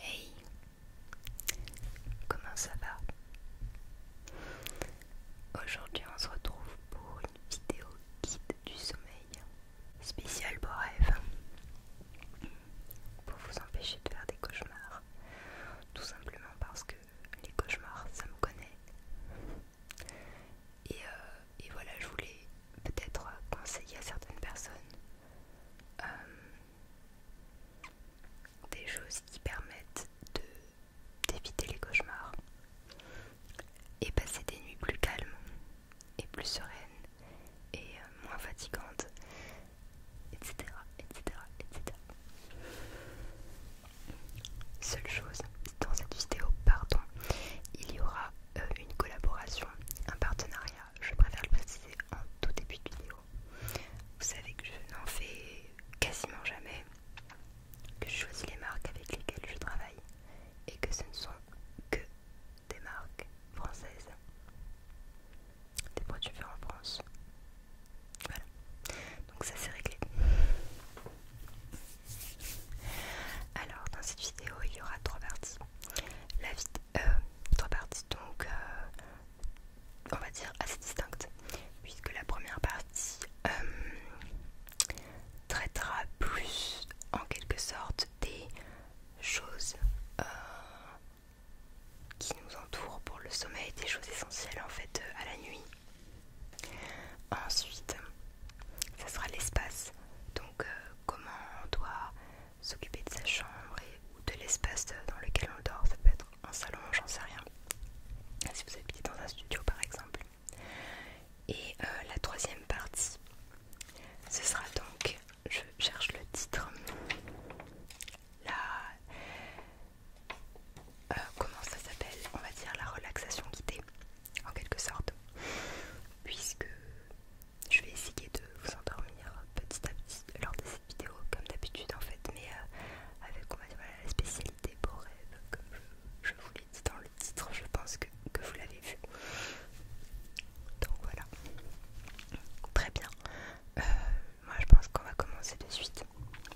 Hey, comment ça va Aujourd'hui on se retrouve pour une vidéo guide du sommeil spéciale pour rêve pour vous empêcher de faire des cauchemars tout simplement parce que les cauchemars, ça me connaît. Euh, et, voilà, je voulais peut-être conseiller à certaines personnes euh, des choses qui permettent d'éviter les cauchemars et passer des nuits plus calmes et plus sereines et euh, moins fatigantes, etc. etc., etc. Seule chose, dans cette vidéo, pardon, il y aura euh, une collaboration, un partenariat, je préfère le préciser en tout début de vidéo. Vous savez que je n'en fais quasiment jamais, que je choisis les marques avec lesquelles je travaille et que ce ne sont que des marques françaises, des produits faits en France. Voilà, donc ça c'est réglé. Alors dans cette vidéo il y aura trois parties. La euh, trois parties donc euh, on va dire assez distinctes puisque la première partie euh, traitera plus en quelque sorte des choses qui nous entourent pour le sommeil, des choses essentielles en fait à la nuit Ensuite, ça sera l'espace. Donc, euh, comment on doit s'occuper de sa chambre ou de l'espace dans lequel on dort. Ça peut être un salon, j'en sais rien. Si vous habitez dans un studio, par exemple. Et euh, la troisième partie, ce sera donc, je cherche le titre, la, euh, comment ça s'appelle On va dire la relaxation guidée, en quelque sorte, puisque je vais essayer de vous endormir petit à petit lors de cette vidéo, comme d'habitude en fait, mais euh, avec on va dire, la spécialité pour rêve, comme je, vous l'ai dit dans le titre, je pense que, vous l'avez vu. Donc voilà, très bien. Euh, moi je pense qu'on va commencer de suite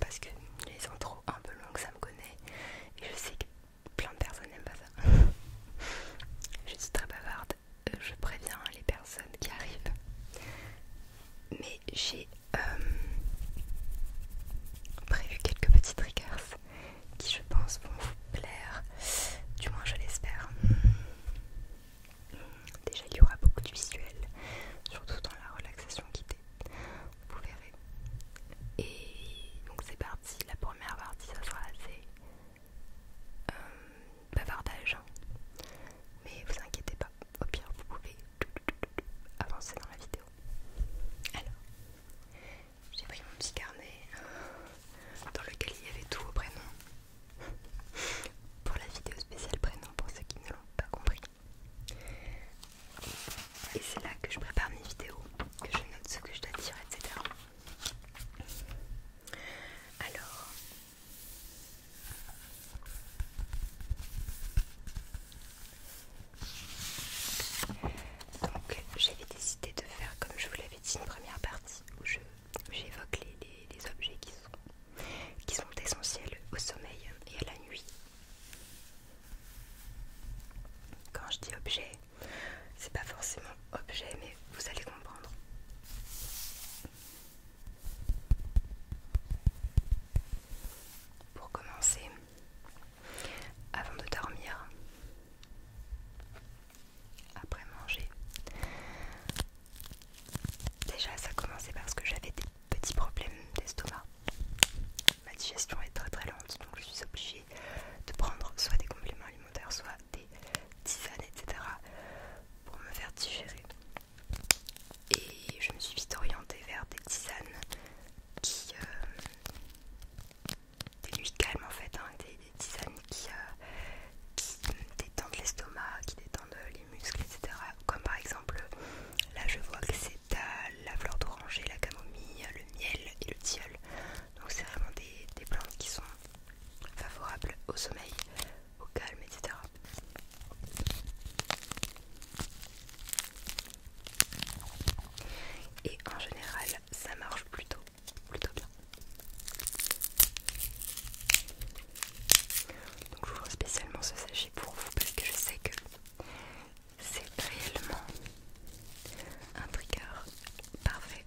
parce que les intros un peu longues ça me connaît et je sais que plein de personnes n'aiment pas ça. je suis très bavarde, je préviens les personnes qui arrivent. Mais j'ai euh, prévu quelques petits triggers qui je pense vont vous plaire, du moins je l'espère. Déjà il y aura beaucoup de visuel surtout dans la relaxation guidée vous verrez. Et donc c'est parti, la première partie ça sera assez euh, bavardage. Hein. Mais vous inquiétez pas, au pire vous pouvez avancer dans la vidéo. Alors, j'ai pris mon petit carnet hein, dans lequel il y avait tous vos prénoms, pour la vidéo spéciale prénom, pour ceux qui ne l'ont pas compris. Et c'est là que je prépare mes vidéos, que je note ce que je dois dire, etc. Alors, donc j'avais décidé de faire, comme je vous l'avais dit, une première partie où j'évoque les, objets qui sont essentiels au sommeil et à la nuit quand je dis objet, c'est pas forcément objet, mais vous allez comprendre. Pour commencer, avant de dormir, après manger, déjà ça commençait parce que j'avais des petits problèmes d'estomac ma digestion est très très lente, donc je suis obligée de prendre soit des compléments alimentaires, soit des tisanes, etc. pour me faire digérer. Et je me suis vite orientée vers des tisanes qui... Euh, des nuits en fait, hein, des, tisanes qui, euh, qui détendent l'estomac, qui détendent les muscles, etc. Comme par exemple, là je vois que c'est t'as la fleur d'oranger, la camomille, le miel et le tilleul. Donc c'est vraiment des, plantes qui sont favorables au sommeil, au calme, etc. Et en général, ça marche plutôt, plutôt bien. Donc j'ouvre spécialement ce sachet pour vous parce que je sais que c'est réellement un trigger parfait.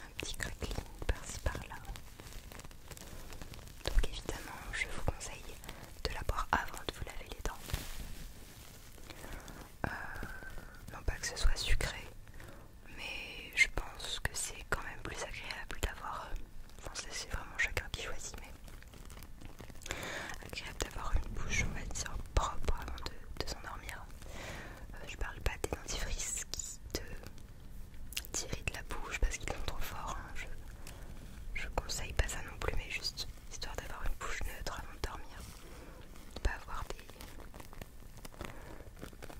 Un petit craquelin par-ci par-là. Donc évidemment, je vous conseille de la boire avant de vous laver les dents. Euh, non pas que ce soit sucré, mais je pense que c'est quand même plus agréable d'avoir... Euh, enfin c'est vraiment chacun qui choisit, mais... Agréable d'avoir une bouche, on va dire, propre avant de, s'endormir. Euh, je parle pas des dentifrices qui te tirent de la bouche parce qu'ils sont trop forts. Hein, je, je conseille pas ça non plus, mais juste histoire d'avoir une bouche neutre avant de dormir. De pas avoir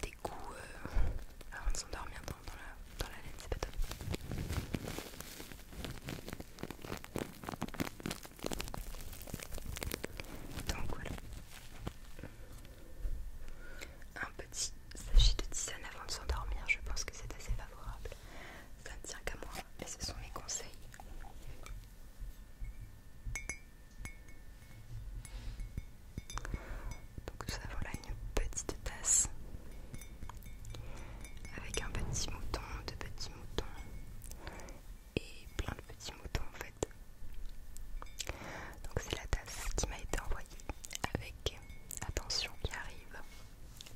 des, goûts euh, avant de s'endormir dans, la, dans la laine, c'est pas top. Donc voilà. Un petit sachet de tisane avant de s'endormir, je pense que c'est assez favorable ça ne tient qu'à moi et ce sont mes conseils. Donc nous avons là une petite tasse avec un petit mouton, deux petits moutons et plein de petits moutons en fait. Donc c'est la tasse qui m'a été envoyée avec attention qui arrive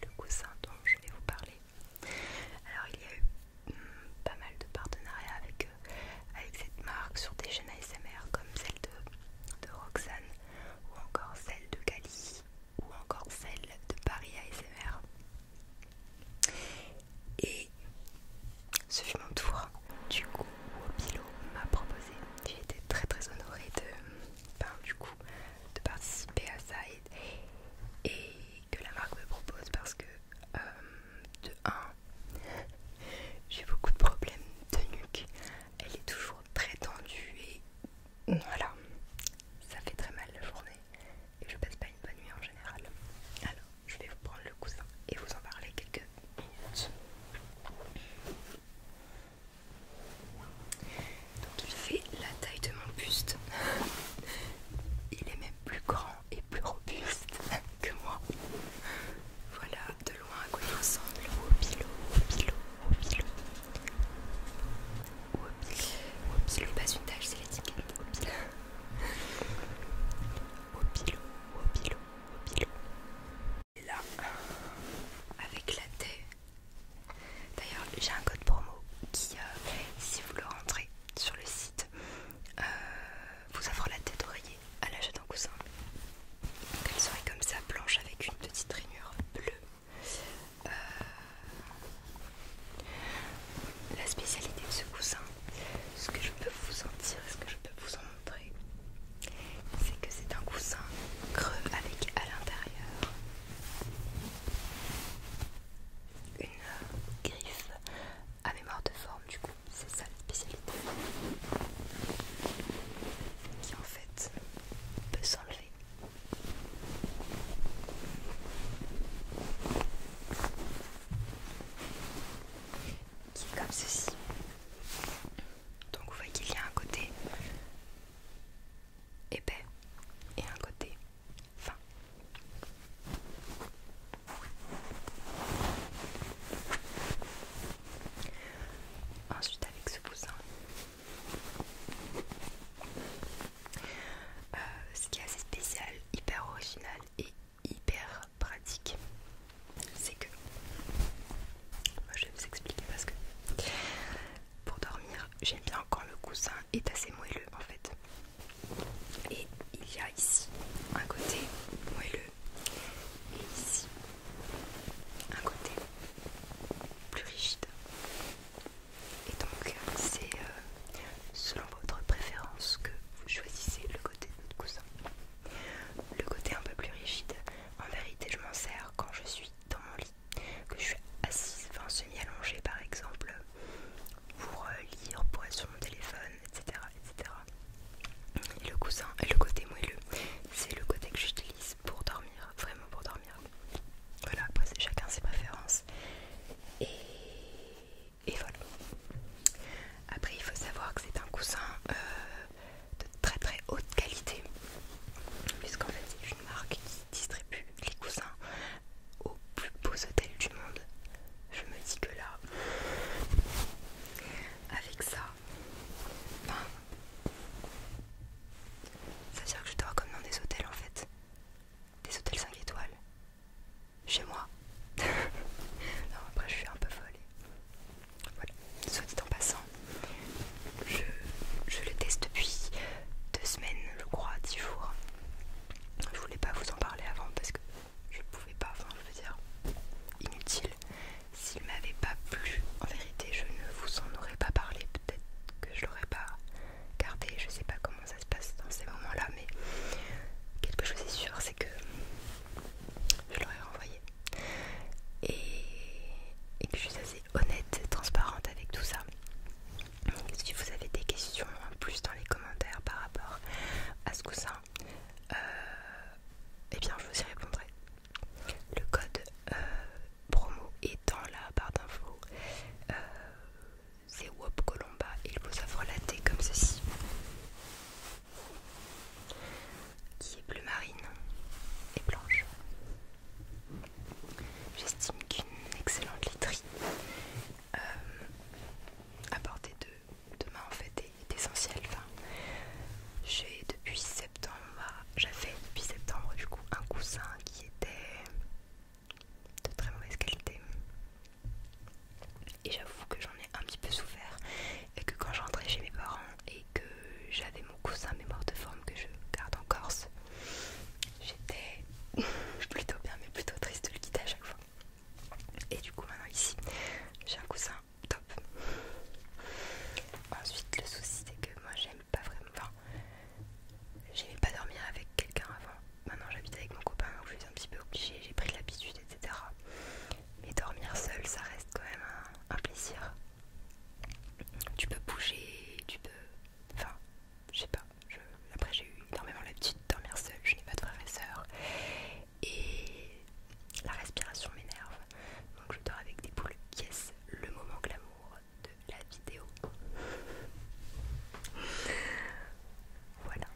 le coussin dont je vais vous parler. Alors il y a eu hmm, pas mal de partenariats avec, euh, avec cette marque sur des chaînes ASMR comme celle de, Roxane ou encore celle de Cali ou encore celle de Paris ASMR. Et ce fut mon tour du coup où m'a proposé. J'ai été très très honorée de du coup de participer à ça et, que la marque me propose parce que euh, de 1 j'ai beaucoup de problèmes de nuque elle est toujours très tendue et voilà ça fait très mal la journée et je passe pas une bonne nuit en général alors je vais vous prendre le coussin et vous en parler quelques minutes donc il fait la taille de mon buste. Il est même plus grand et plus robuste que moi. Voilà de loin à quoi il ressemble au pilot, au pilot, au pilot. Au pilot, au pilot, pas une tâche, c'est l'étiquette. Au pilot, au pilot, au pilot, au Et là, avec la tête D'ailleurs, j'ai un code promo qui, euh, si vous le rentrez sur le site, euh, vous offre la tête orillée à l'achat d'un coussin. Donc elle serait comme ça, blanche avec une petite rainure bleue. Euh, la spécialité de ce coussin, ce que je peux vous en dire, ce que je peux vous en montrer, c'est que c'est un coussin creux avec à l'intérieur une griffe à mémoire de forme du coup c'est ça la spécialité qui en fait peut s'enlever qui est comme ceci donc vous voyez qu'il y a un côté épais et un côté fin. Ensuite avec ce coussin, euh, ce qui est assez spécial, hyper original et hyper pratique, c'est que je vais vous expliquer parce que pour dormir j'aime bien quand le coussin est assez moelleux en fait. Et il y a ici un côté moelleux et ici un côté plus rigide. Et donc c'est euh, selon votre préférence que vous choisissez le côté de votre coussin. Le côté un peu plus rigide, en vérité je m'en sers quand je suis dans mon lit que je suis assise, enfin semi-allongée par exemple, pour euh, lire, pour être sur mon téléphone, etc. Et le coussin et le côté moelleux, c'est le côté que j'utilise pour dormir, vraiment pour dormir. Voilà, après c'est chacun ses préférences. Et, voilà. Après il faut savoir que c'est un coussin euh, de très très haute qualité. Puisqu'en fait marque qui distribue les coussins aux plus beaux hôtels du monde. Je me dis que là, avec ça, ça veut dire que je dors comme dans des hôtels en fait. Des hôtels 5 étoiles. Chez moi. non, après je suis un peu folle. Voilà, soit dit en passant je, le teste depuis deux semaines, je crois, dix jours. Je voulais pas vous en parler avant parce que je pouvais pas, enfin je veux dire, inutile. S'il m'avait pas plu, en vérité, je ne vous en aurais pas parlé. Peut-être que je l'aurais pas gardé, je sais pas comment ça se passe dans ces moments-là, mais quelque chose est sûr, c'est que je l'aurais renvoyé. Et, et que je suis assez honnête, transparente avec tout ça. Si vous avez des questions en plus dans les commentaires par rapport à ce coussin, euh, eh bien je vous y répondrai. Le code euh, promo est dans la barre d'infos. Euh, c'est Wop Colomba et il vous offre la thé comme ceci. Qui est bleu marine et blanche. J'estime qu'une excellente literie euh, à portée de, demain main en fait est, essentielle. j'ai depuis septembre, j'avais depuis septembre du coup un coussin qui était de très mauvaise qualité. Et j'avoue que j'en ai un petit peu souffert et que quand je rentrais chez mes parents et que j'avais mon coussin mémoire de forme que je garde en Corse, J'étais plutôt bien, mais plutôt triste de le quitter à chaque fois. Et du coup, maintenant ici, j'ai un coussin top. Ensuite, le souci c'est que moi j'aime pas vraiment. Enfin, j'aimais pas dormir avec quelqu'un avant. Maintenant, j'habite avec mon copain, donc je suis un petit peu obligée, j'ai pris l'habitude, etc. Mais dormir seul, ça reste quand même un plaisir. Tu peux bouger, tu peux. Enfin, je sais pas après, j'ai eu énormément l'habitude de dormir seule, je n'ai pas de frères et Et la respiration m'énerve. Donc, je dors avec des poules. est le moment glamour de la vidéo. voilà.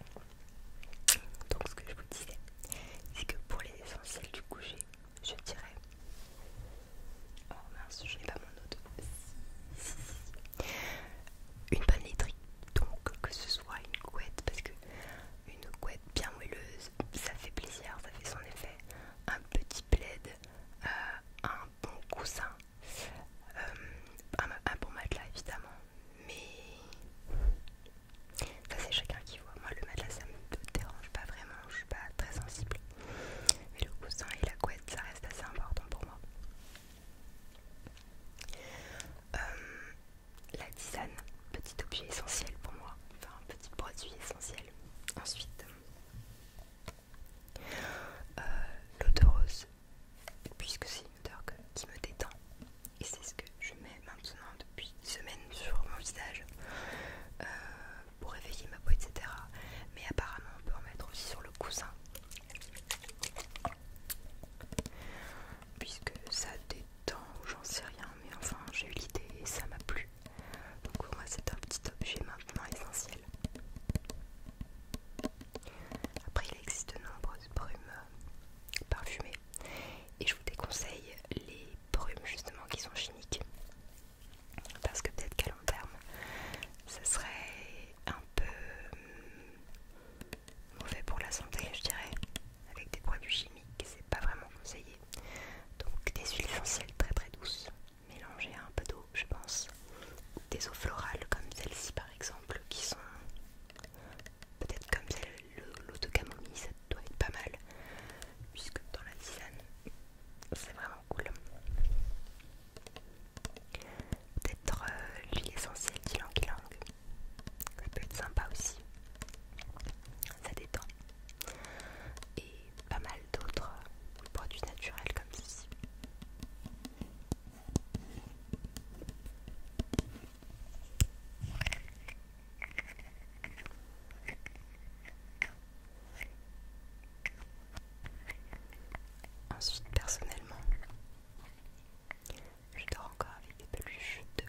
Donc, ce que je vous disais, c'est que pour les essentiels du coucher, je dirais Oh mince, je n'ai pas mon autre. Une bonne donc que ce soit une couette, parce que une couette bien moelleuse, ça fait plaisir, ça fait son effet. Un petit plaid, euh, un bon coussin, euh, un, un bon matelas évidemment, mais ça c'est chacun qui voit. Moi le matelas ça me dérange pas vraiment, je suis pas très sensible. Mais le coussin et la couette ça reste assez important pour moi. Euh, la tisane, petit objet essentiel pour moi, enfin un petit produit essentiel. Ensuite, euh, l'eau de rose, puisque c'est une odeur qui me détend et c'est ce que je mets maintenant depuis une semaine sur mon visage euh, pour réveiller ma peau, etc. Mais apparemment, on peut en mettre aussi sur le coussin puisque ça détend ou j'en sais rien mais enfin j'ai eu l'idée et ça m'a plu donc pour moi c'est un petit objet maintenant essentiel après il existe de nombreuses brumes euh, parfumées et je vous déconseille les brumes justement qui sont chimiques parce que peut-être qu'à long terme ça serait un peu hum, mauvais pour la santé, je dirais. Avec des produits chimiques, c'est pas vraiment conseillé. Donc des huiles essentielles très très douces, mélangées à un peu d'eau, je pense. Des eaux florales comme celle-ci par exemple, qui sont peut-être comme celle l'eau de camomille, ça doit être pas mal, puisque dans la tisane, c'est vraiment cool. Peut-être euh, l'huile essentielle d'ylang langue, Ça peut être sympa aussi. Ça détend. Et pas mal d'autres euh, produits naturels comme ceci. Ensuite, personnellement, je dors encore avec des peluches que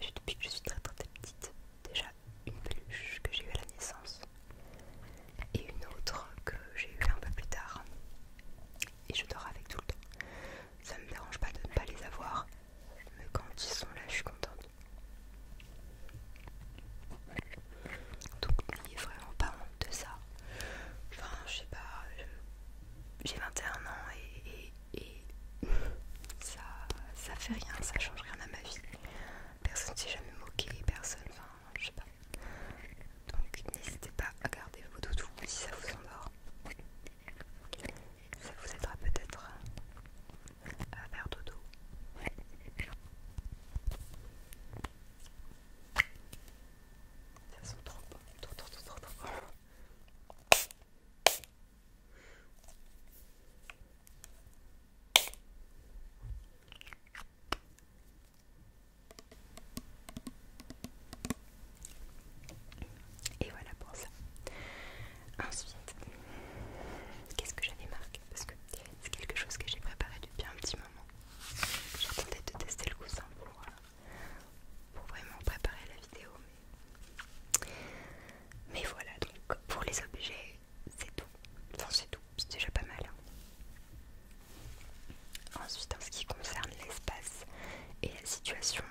j'ai depuis que je suis très très petite. Déjà une peluche que j'ai eue à la naissance et une autre que j'ai eu un peu plus tard. Et je dors avec tout le temps. Ça ne me dérange pas de ne pas les avoir, mais quand ils sont là, je suis contente. Donc n'ayez vraiment pas de ça. Enfin, je sais pas, j'ai 21 ans et, ça, ça fait rien, ça change rien à ma vie. Personne ne s'est jamais moqué, personne, enfin, je sais pas. Donc n'hésitez pas à garder vos doudous si ça vous endort. Ça vous aidera peut-être à faire dodo. Ça se trop bon. Trop, trop, trop, trop, Et voilà pour ça. Ensuite, qu'est-ce que j'avais marqué Parce que c'est quelque chose que j'ai préparé depuis un petit moment. J'attendais de tester le coussin euh, pour, vraiment préparer la vidéo. Mais, voilà, donc pour les objets, c'est tout. Enfin, c'est tout, c'est déjà pas mal. Hein. Ensuite, en ce qui concerne l'espace et la situation,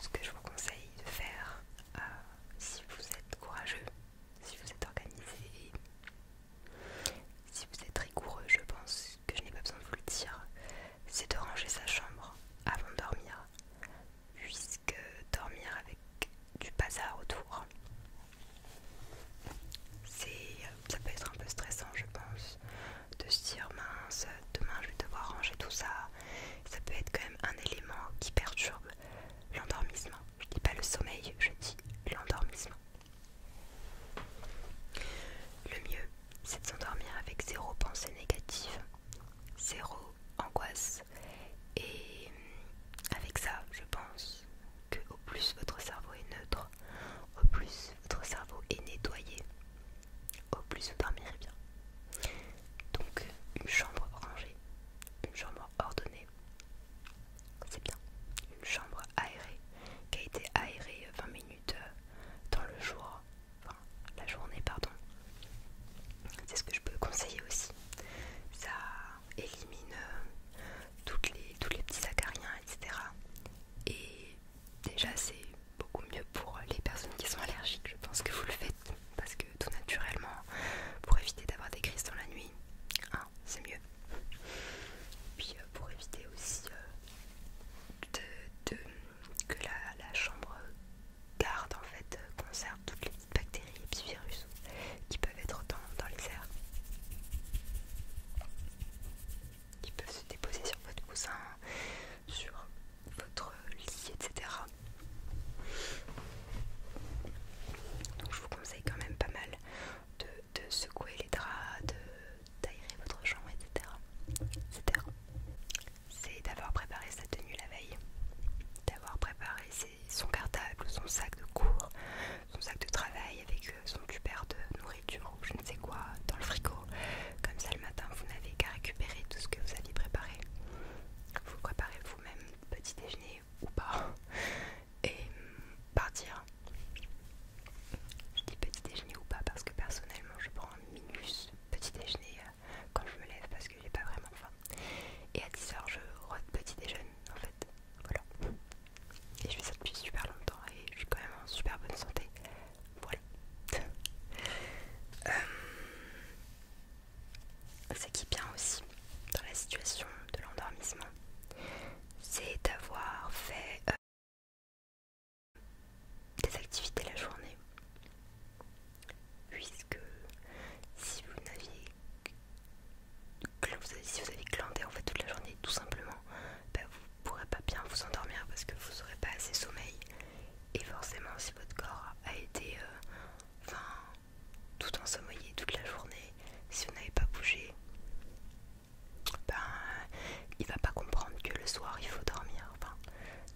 ce que je vous conseille de faire euh, si vous êtes courageux, si vous êtes organisé, si vous êtes rigoureux, je pense que je n'ai pas besoin de vous le dire, c'est de ranger sa chambre avant de dormir, puisque dormir avec du bazar autour, ça peut être un peu stressant, je pense, de se dire mince, demain je vais devoir ranger tout ça. Ça peut être quand même un élément qui perturbe l'endormissement. Je dis pas le sommeil, je dis l'endormissement. Le mieux, c'est de s'endormir avec zéro pensée négative, zéro angoisse. Et hum, avec ça, je pense que plus votre cerveau est neutre, au plus votre cerveau est nettoyé, au plus vous dormirez bien. Donc une chambre rangée, une chambre ordonnée, c'est bien. Une chambre aérée qui a été aérée 20 minutes euh, dans le jour. Enfin, la journée, pardon. C'est ce que je peux conseiller aussi. Ça élimine euh, tous les petits acariens, etc. Et déjà, c'est beaucoup mieux pour les personnes qui sont allergiques. Je pense que vous le faites parce que tout naturellement, pour éviter d'avoir des crises dans la nuit, c'est mieux. Puis euh, pour éviter aussi euh, de, que la, chambre garde en fait, euh, conserve toutes les petites bactéries et petits virus qui peuvent être dans, dans les airs, qui peuvent se déposer sur votre coussin, sur votre lit, etc. Donc je vous conseille quand même pas mal de, de secouer les draps, de d'aérer votre chambre, etc. C'est d'avoir préparé sa tenue la veille, d'avoir préparé son cartable son sac de cours, son sac de travail avec euh, son tupper de nourriture ou je ne sais quoi dans le frigo. Comme ça, le matin, vous n'avez qu'à récupérer tout ce que vous aviez préparé. Vous préparez vous-même petit déjeuner ou pas et hum, partir. Je dis petit déjeuner ou pas parce que personnellement je prends un minus petit déjeuner euh, quand je me lève parce que j'ai pas vraiment faim. Et à 10h je rote petit déjeuner en fait. Voilà. Et je fais ça depuis super longtemps et je suis quand même en super bonne santé. Voilà. Euh, qui bien aussi dans la situation de l'endormissement, c'est d'avoir fait euh, des activités la journée. Puisque si vous n'aviez si vous avez glandé en fait toute la journée tout simplement, bah, vous pourrez pas bien vous endormir parce que vous n'aurez pas assez sommeil. Et forcément si votre corps a été euh, tout ensommeillé toute la journée, si vous n'avez pas bougé, ben il va pas comprendre que le soir il faut dormir. Enfin,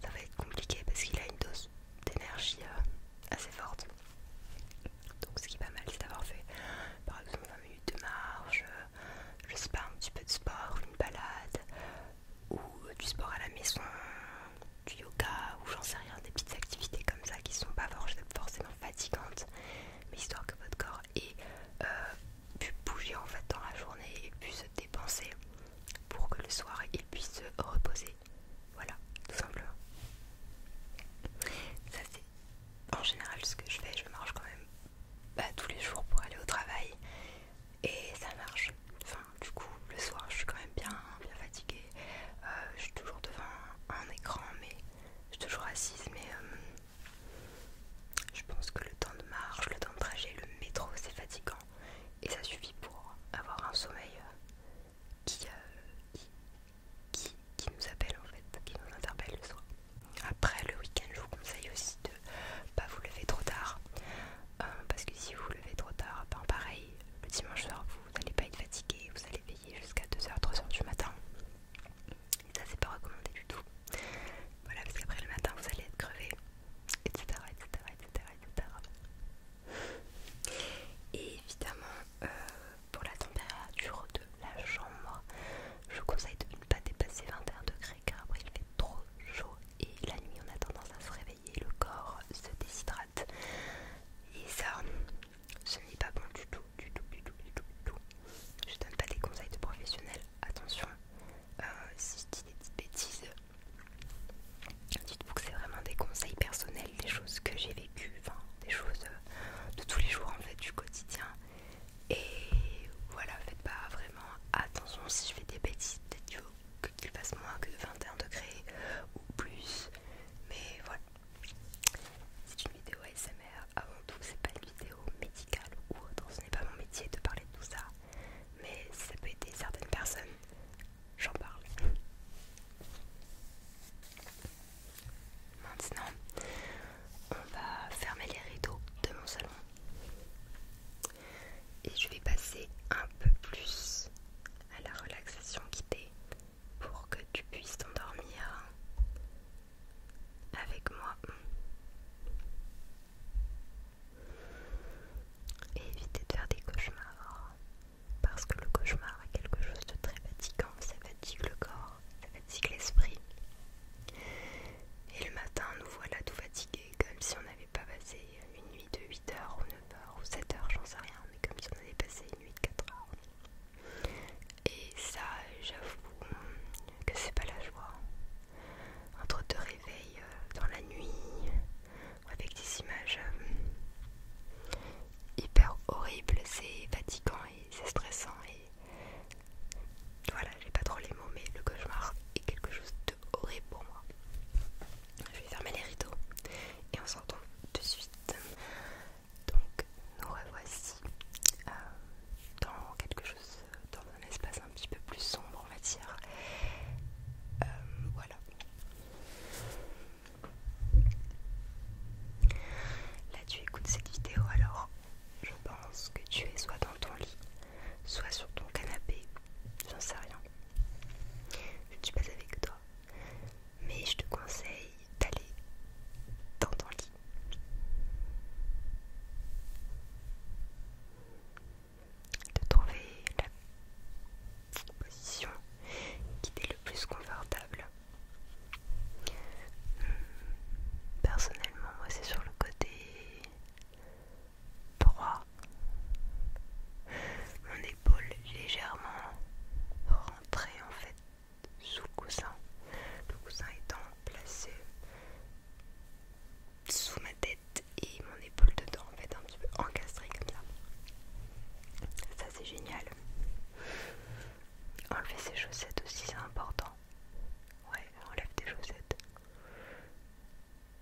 ça va être compliqué parce qu'il a une dose d'énergie euh, assez forte. Donc ce qui est pas mal c'est d'avoir fait par exemple 20 minutes de marche, je sais pas, un petit peu de sport, une balade, ou du sport à la maison, du yoga, ou j'en sais rien, des petites activités comme ça qui sont pas forcément fatigantes, mais histoire que votre corps et euh, puis pu bouger en fait dans la journée et puis se dépenser pour que le soir il puisse se reposer. Voilà, tout simplement. Ça c'est en général ce que je fais, je marche quand même bah, tous les jours pour aller au travail et ça marche. Enfin du coup le soir je suis quand même bien, hein, bien fatiguée. Euh, je suis toujours devant un écran mais je suis toujours assise mais euh, je pense que le temps de marche, le temps de trajet, le métro, c'est fatigant. Et ça suffit pour avoir un sommeil euh, euh, qui, nous appelle en fait, qui nous interpelle le soir. Après le week-end, je vous conseille aussi de pas vous lever trop tard. Euh, parce que si vous vous levez trop tard, ben, pareil, le dimanche soir, vous n'allez pas être fatigué, vous allez veiller jusqu'à 2h, 3h du matin. Et ça, c'est pas recommandé du tout. Voilà, parce qu'après le matin, vous allez être crevé, etc., etc., etc., etc. Et évidemment, euh, pour la température de la chambre, je vous conseille de ne pas dépasser 21 degrés car après il fait trop chaud et la nuit on a tendance à se réveiller, le corps se déshydrate et ça, ce n'est pas bon du tout. Je donne pas des conseils de professionnels, attention. Euh, si je dis des petites bêtises, dites-vous que c'est vraiment des conseils personnels, des choses que j'ai vécues, enfin des choses euh, de tous les jours en fait, du quotidien. Et voilà, faites pas vraiment attention si je fais des bêtises, peut-être qu'il fasse moins que 21 degrés ou plus. Mais voilà, c'est une vidéo ASMR avant ah, tout c'est pas une vidéo médicale ou autre ce n'est pas mon métier de parler de tout ça mais si ça peut aider certaines personnes j'en parle maintenant on va fermer les rideaux de mon salon et je vais passer un peu plus à la relaxation guidée pour que tu puisses t'endormir avec moi et éviter de faire des cauchemars parce que le cauchemar est quelque chose de très fatigant, ça fatigue le corps, ça fatigue l'esprit. Et le matin, nous voilà tout fatigués, comme si on n'avait pas passé une nuit de 8h ou 9h ou 7h, j'en sais rien, mais comme si on avait passé une nuit de 4h. Et ça, j'avoue que c'est pas la joie. Entre deux réveils euh, dans la nuit, avec des images euh, hyper horribles, c'est fatigant et c'est stressant. Et voilà, j'ai pas trop les mots, mais le cauchemar est quelque chose de horrible pour moi. Je vais fermer les rideaux et on s'entend retrouve de suite. Donc, nous revoici. Euh, dans quelque chose, dans un espace un petit peu plus sombre, on va dire. Euh, voilà. Là, tu écoutes cette vidéo alors. Je pense que tu es soit dans ton lit, soit sur ton canapé, j'en sais rien. Je ne suis pas avec toi. Mais je te conseille d'aller dans ton lit de trouver la position qui est le plus confortable. Hmm. Personnellement, moi c'est sur le côté droit, mon épaule légèrement rentrée en fait sous le coussin, le coussin étant placé sous ma tête et mon épaule dedans en fait un petit peu encastrée comme ça ça c'est génial enlever ses chaussettes aussi c'est important ouais enlève tes chaussettes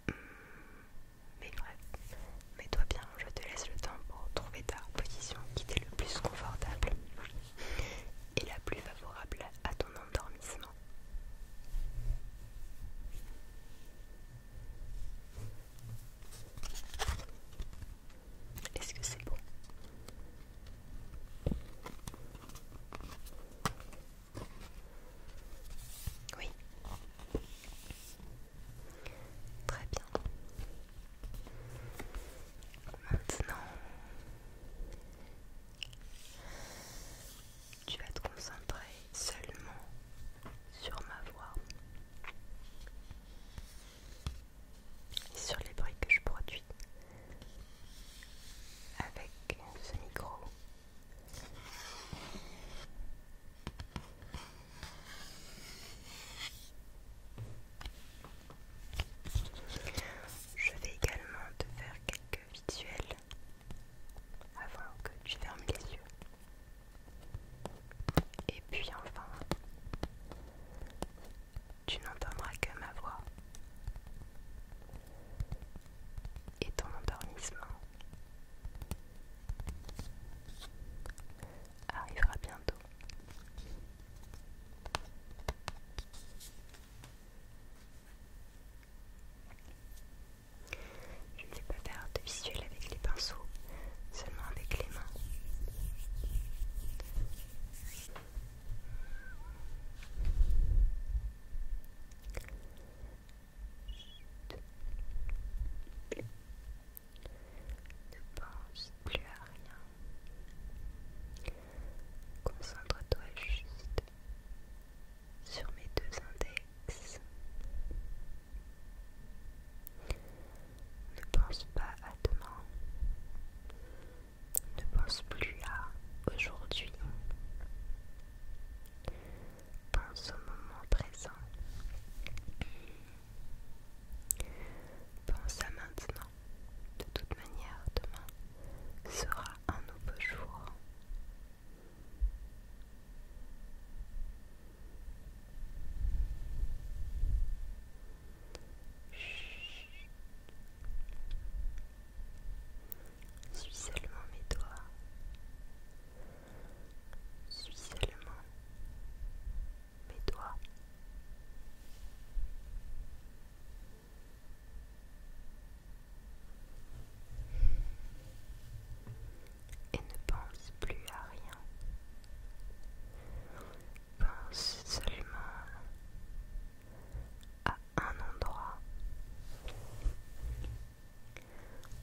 hmm, mais bref mets-toi bien je te laisse le temps pour trouver ta position qui t'est le plus confortable et la plus favorable à ton est-ce que c'est bon Oui. Très bien. Maintenant, tu vas te concentrer seulement sur ma voix et sur les bruits que je produis avec ce micro. Je vais également te faire visuel avant que tu fermes les yeux. Et puis enfin, tu n'entendras que ma voix et ton endormissement arrivera bientôt. Je ne vais pas faire de visuel avec les pinceaux, seulement avec les mains. Ne pense plus à rien. Concentre-toi juste sur mes deux index. Ne pense pas à demain. Ne pense plus à aujourd'hui. Pense au moment présent. Pense à maintenant. De toute manière, demain, sera un nouveau jour. Suis seulement mes doigts. Suis seulement mes doigts et ne pense plus à rien. Pense seulement à un endroit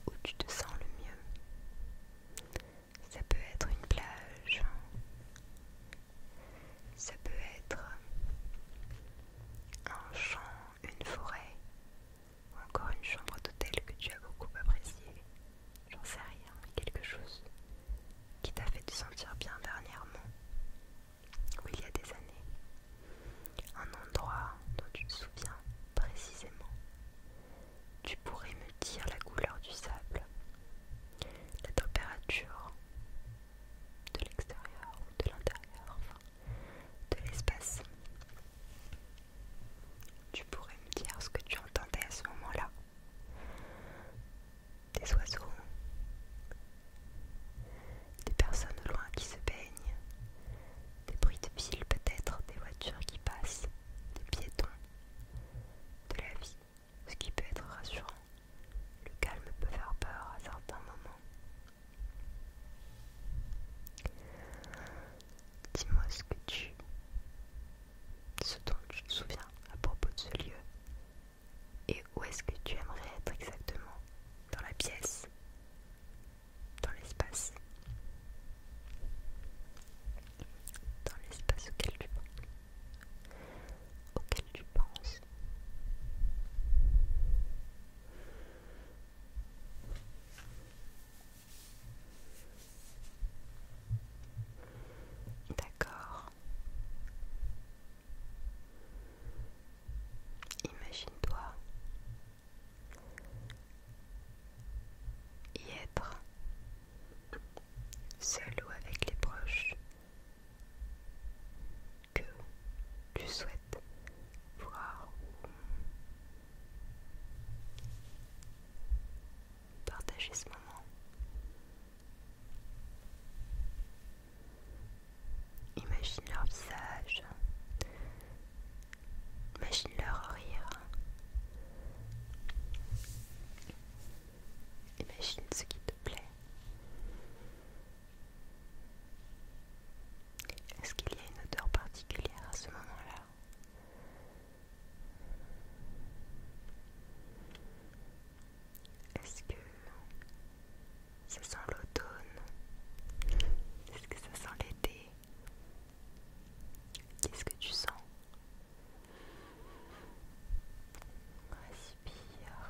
où tu te sens le mieux. Ça peut être une plage, ça peut être un champ, une forêt, ou encore une chambre d'hôtel que tu as beaucoup appréciée, j'en sais rien, mais quelque chose qui t'a fait te sentir bien dernièrement, ou il y a des années, un endroit dont tu te souviens précisément. Tu pourrais me dire la couleur du sable, la température, de l'extérieur ou de l'intérieur, enfin, de l'espace. Tu pourrais me dire ce que tu entendais à ce moment-là Des oiseaux, des personnes au loin qui se baignent, des bruits de ville peut-être, des voitures qui passent, des piétons, de la vie, ce qui peut être rassurant. Le calme peut faire peur à certains moments, Dis-moi ce que tu... ce dont tu te souviens à propos de ce lieu. Et où est-ce que tu aimerais être exactement Dans la pièce Dans l'espace Dans l'espace auquel tu penses Auquel tu penses D'accord. Imagine-toi y être seul ou avec les proches que tu souhaites voir ou partager ce moment. Imagine leur visage, imagine leur rire, imagine ce qui te plaît. Est-ce qu'il y a une odeur particulière à ce moment-là Est-ce que ça sent l'automne Est-ce que ça sent l'été Qu'est-ce que tu sens Respire.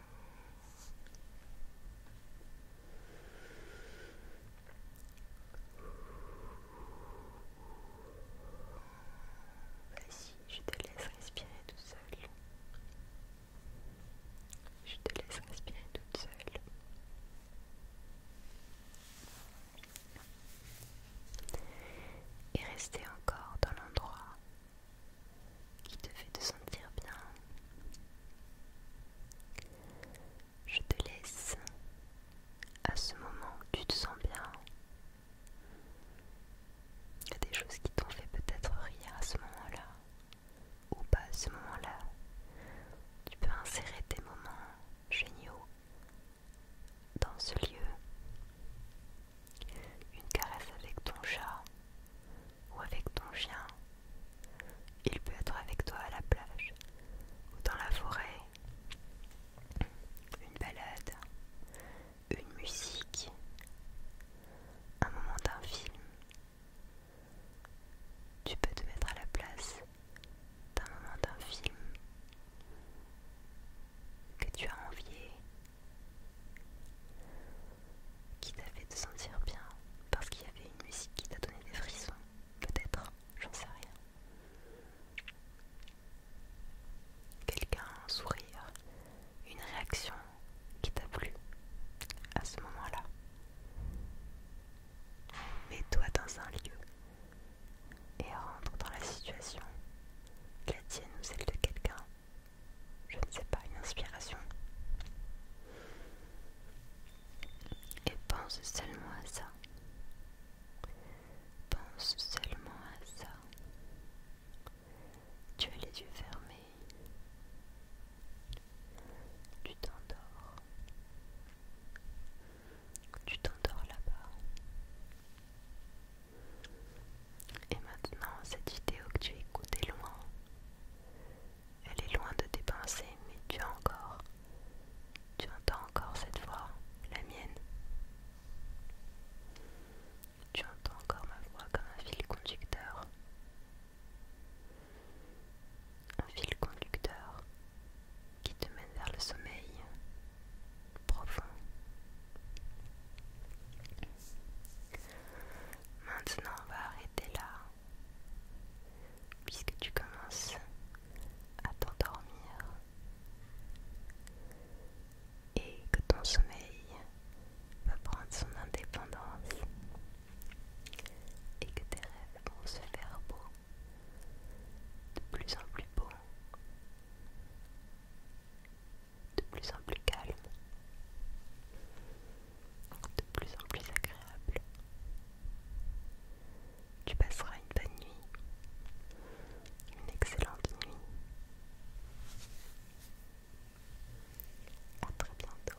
je te laisse respirer toute seule, Je te laisse respirer toute seule. Et rester encore dans l'endroit qui te fait te sentir bien. Je te laisse à ce moment tu te sens bien. Il y a des choses qui t'ont fait peut-être rire à ce moment-là ou pas à ce moment-là. Tu peux insérer tes moments géniaux dans ce lieu. Une caresse avec ton chat, ou avec ton chien. Il peut être avec toi à la plage ou dans la forêt. Une balade, une musique, un moment d'un film. Tu peux te mettre à la place d'un moment d'un film que tu as envié qui t'a fait te sentir bien parce qu'il y avait une musique qui t'a donné des frissons, peut-être, j'en sais rien. Quelqu'un, un sourire, une réaction qui t'a plu à ce moment-là. Mets-toi dans un lieu et rentre dans la situation, la tienne ou celle de quelqu'un je ne sais pas, une inspiration. Et pense seulement à ça. Pense seulement à ça. Tu as les yeux fermés. Tu t'endors. Tu t'endors là-bas. Et maintenant, cette vidéo que tu écoutes est loin. Elle est loin de tes pensées, mais tu as encore. Tu entends encore cette voix, la mienne. Tu entends encore ma voix comme un fil conducteur. Un fil conducteur qui te mène vers le sommeil profond. Maintenant, on va arrêter là, puisque tu commences à t'endormir et que ton sommeil va prendre son indépendance et que tes rêves vont se faire beau, de plus en plus beau de plus en plus calme, de plus en plus agréable. Tu passeras une bonne nuit, une excellente nuit. À très bientôt.